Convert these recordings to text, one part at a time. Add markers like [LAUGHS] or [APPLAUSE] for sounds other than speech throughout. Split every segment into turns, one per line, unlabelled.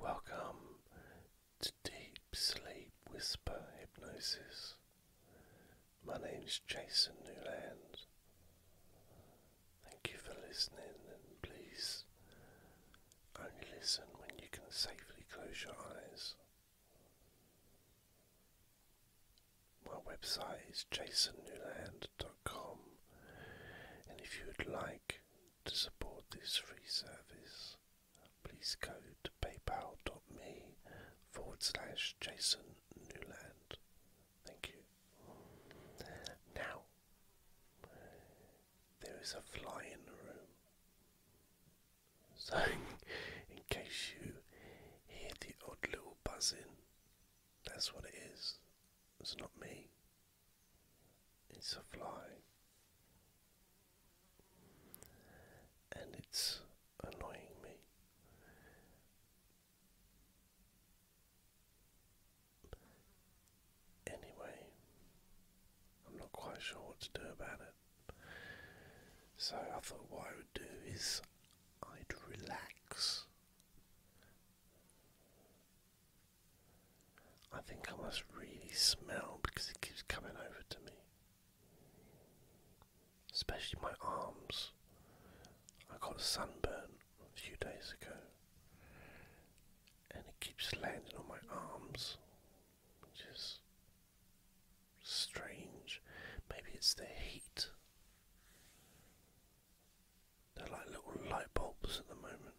Welcome to Deep Sleep Whisper Hypnosis. My name is Jason Newland. Thank you for listening, and please only listen when you can safely close your eyes. My website is jasonnewland.com, and if you would like to support this free service, please go to paypal.me forward slash Jason Newland. Thank you. Now, there is a fly in the room. So, [LAUGHS] in case you hear the odd little buzzing, that's what it is. It's not me. It's a fly, and it's annoying me. Anyway, I'm not quite sure what to do about it. So I thought what I would do is I'd relax I think I must really smell because it keeps coming over to me. Especially my arms. I got a sunburn a few days ago. And it keeps landing on my arms. Which is strange. Maybe it's the heat. They're like little light bulbs at the moment.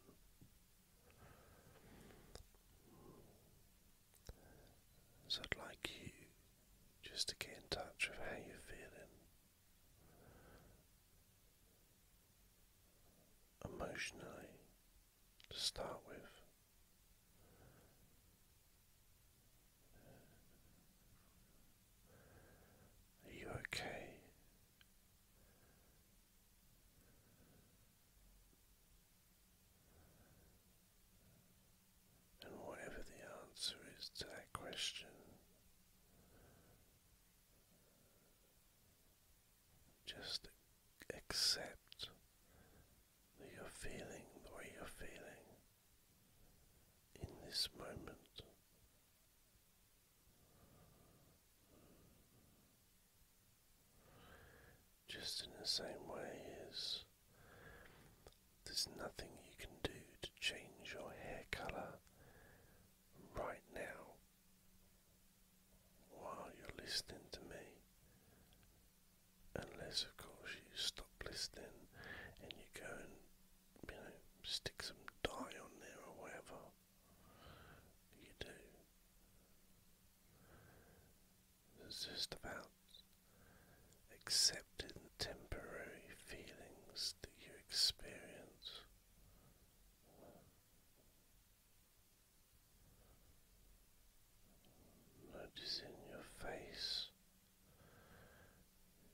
So I'd like you just to get in touch with how you're feeling emotionally to start with. Are you okay? And whatever the answer is to that question, just accept that you're feeling the way you're feeling in this moment. Just in the same way as there's nothing you can do to change your hair colour right now while you're listening to me. Unless, of course, you stop listening and you go and, you know, stick some dye on there or whatever you do. It's just about accepting temporary feelings that you experience. Noticing your face,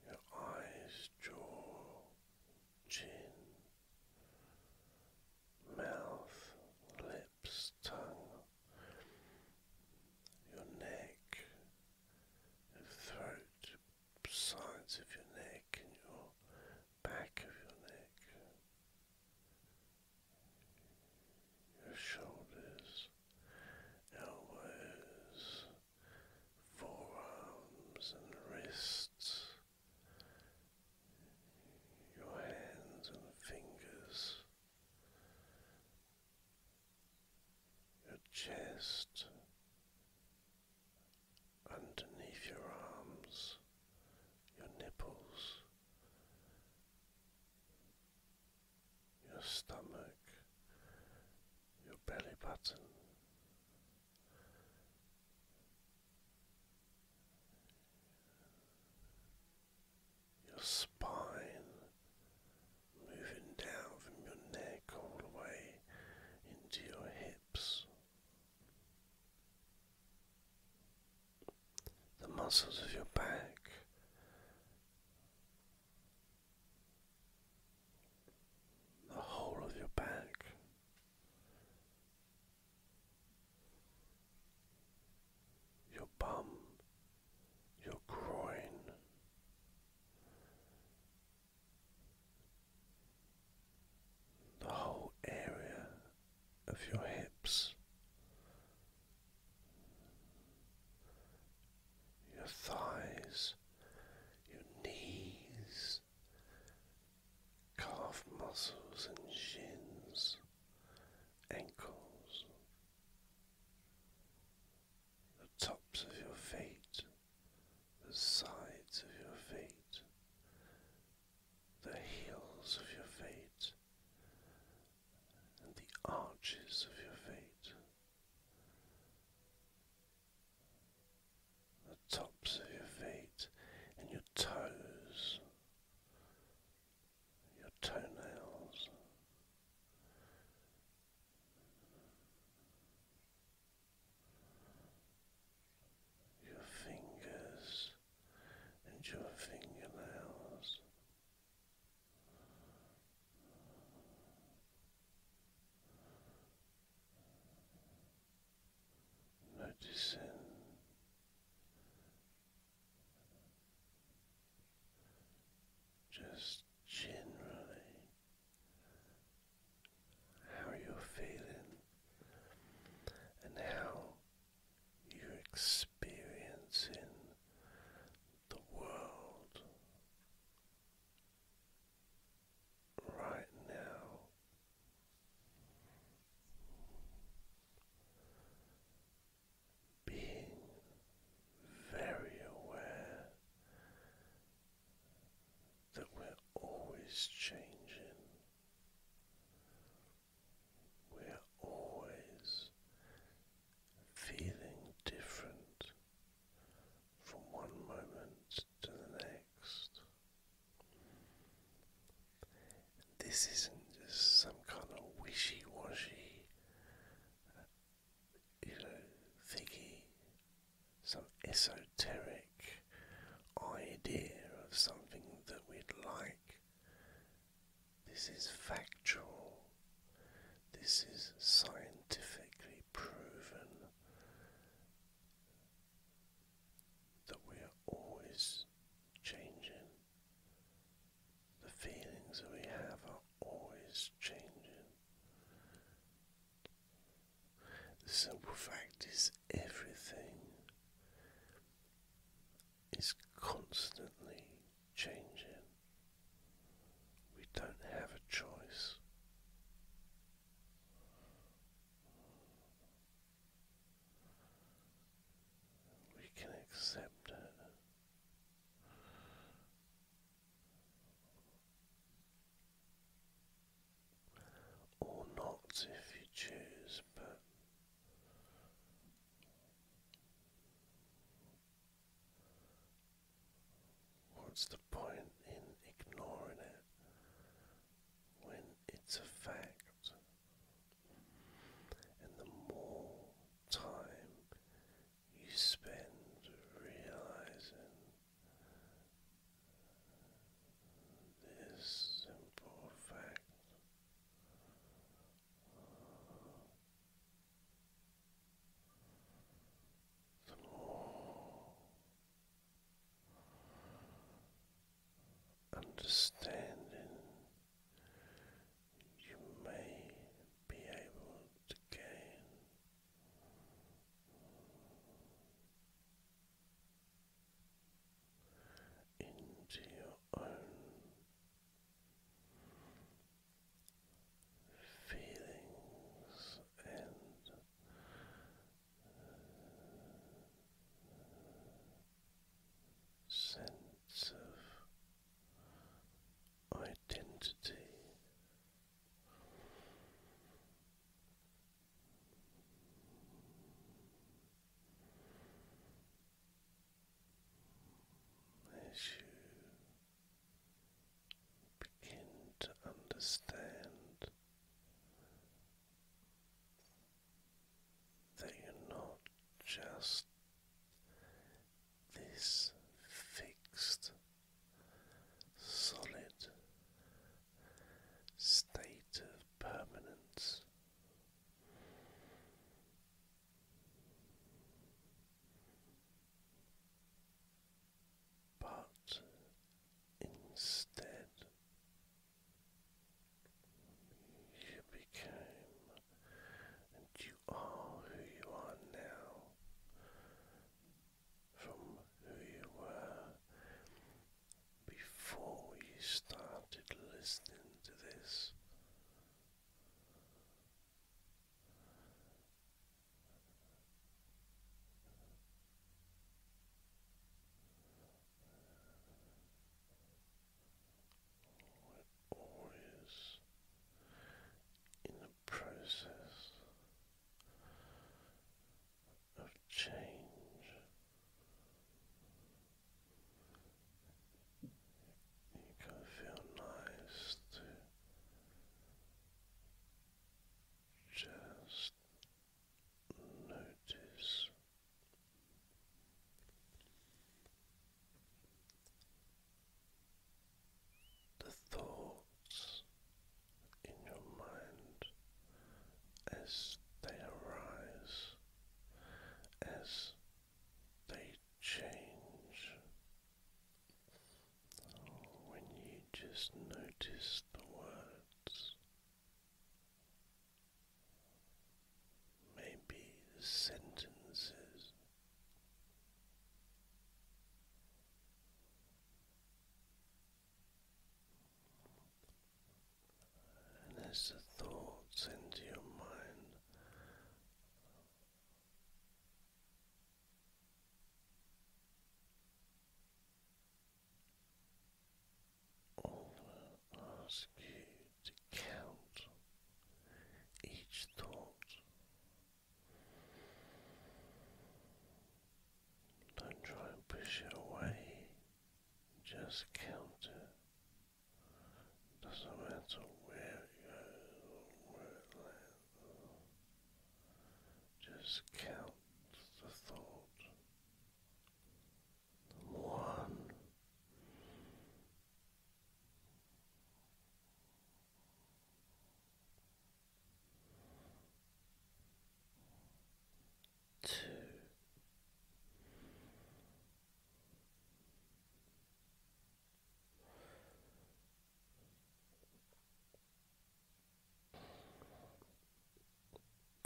your eyes, jaw, chin, mouth, lips, tongue, your neck, throat, sides of your neck, and your back of your neck, your shoulders, elbows, forearms and wrists, your hands and fingers, your chest, underneath your arms, your nipples, your stomach, your belly button your spine, moving down from your neck all the way into your hips. The muscles of your back the whole of your back. Your bum, your groin, the whole area of your hips, your thighs, your knees, calf muscles and shins, ankles, the tops of your feet, the sides of your feet, the heels of your feet, and the arches of your feet the tops of your feet and your toes, your toenails. Your fingers and your fingernails, Noticing just generally how you're feeling and how you're experiencing the world right now. Being very aware that we're always changing, we're always feeling different, from one moment to the next. This isn't just some kind of wishy washy, uh, you know, thingy, some esoteric idea of something that we'd like. This is factual. This is scientifically proven that we are always changing. The feelings that we have are always changing. The simple fact is, everything is constantly changing. We don't have a choice. We can accept it. Or not if you choose, but What's the point in ignoring it when it's a fact? And the more time you spend realizing this simple fact, some more understanding you may be able to gain. Into your own feelings and sense of identity. As you begin to understand that you're not just this fixed, solid state of permanence. But instead, you became and you are who you are now from who you were before you started listening to this. We're always in the process of change. You can feel nice to just notice. The thoughts in your mind as they arise, as they change when you just notice the words. Maybe sentences. And as the thoughts enter your mind, I'm ask you to count each thought. Don't try and push it away, just count it. Doesn't matter where it goes or where it lands. Just count the thought. One. Two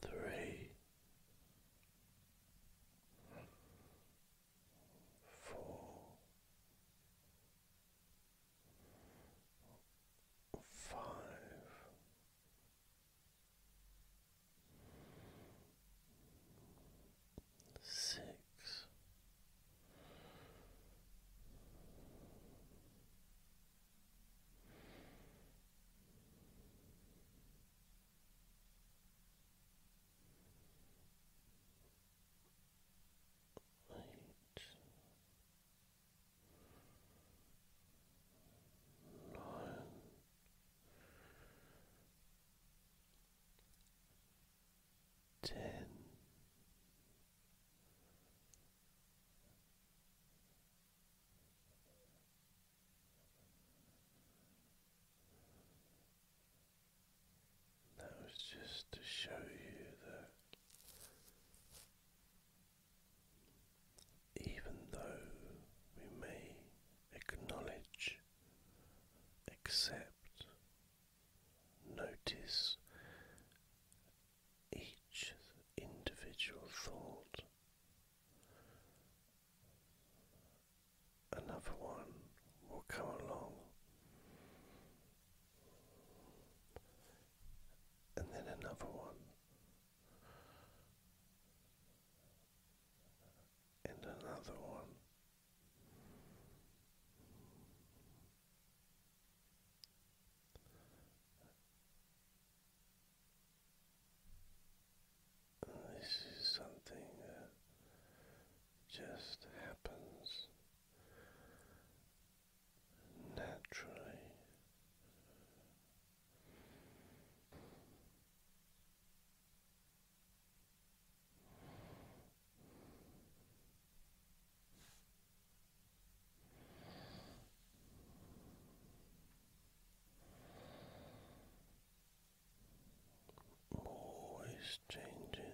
three, four, five six. Eight, nine, ten that was just to show you that even though we may acknowledge accept, notice each individual thought. Another one will come along, and then another one, and another one. this is something that just happens naturally always changing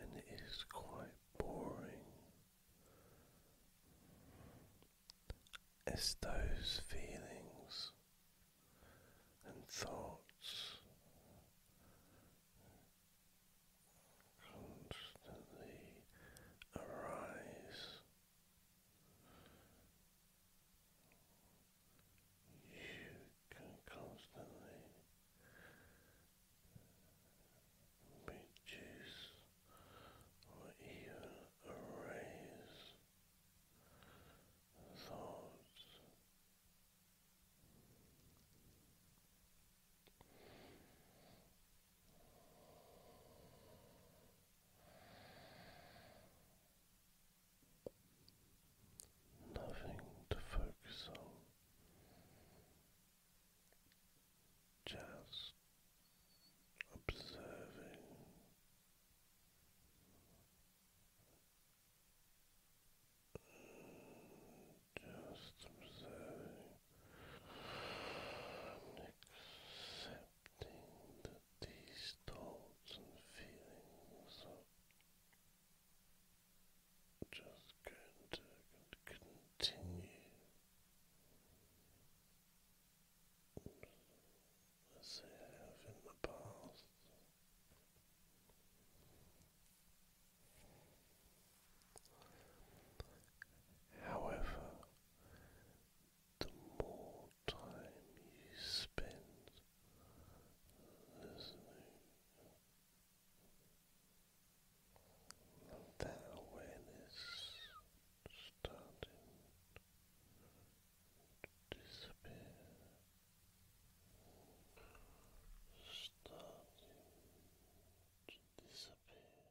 and it is quite boring as those feelings and thoughts constantly arise you can constantly reduce or even erase thoughts nothing to focus on, just observing. Just observing that these thoughts and feelings just continue as they have in the past. However, the more time you spend listening, that awareness starting to disappear, starting to disappear.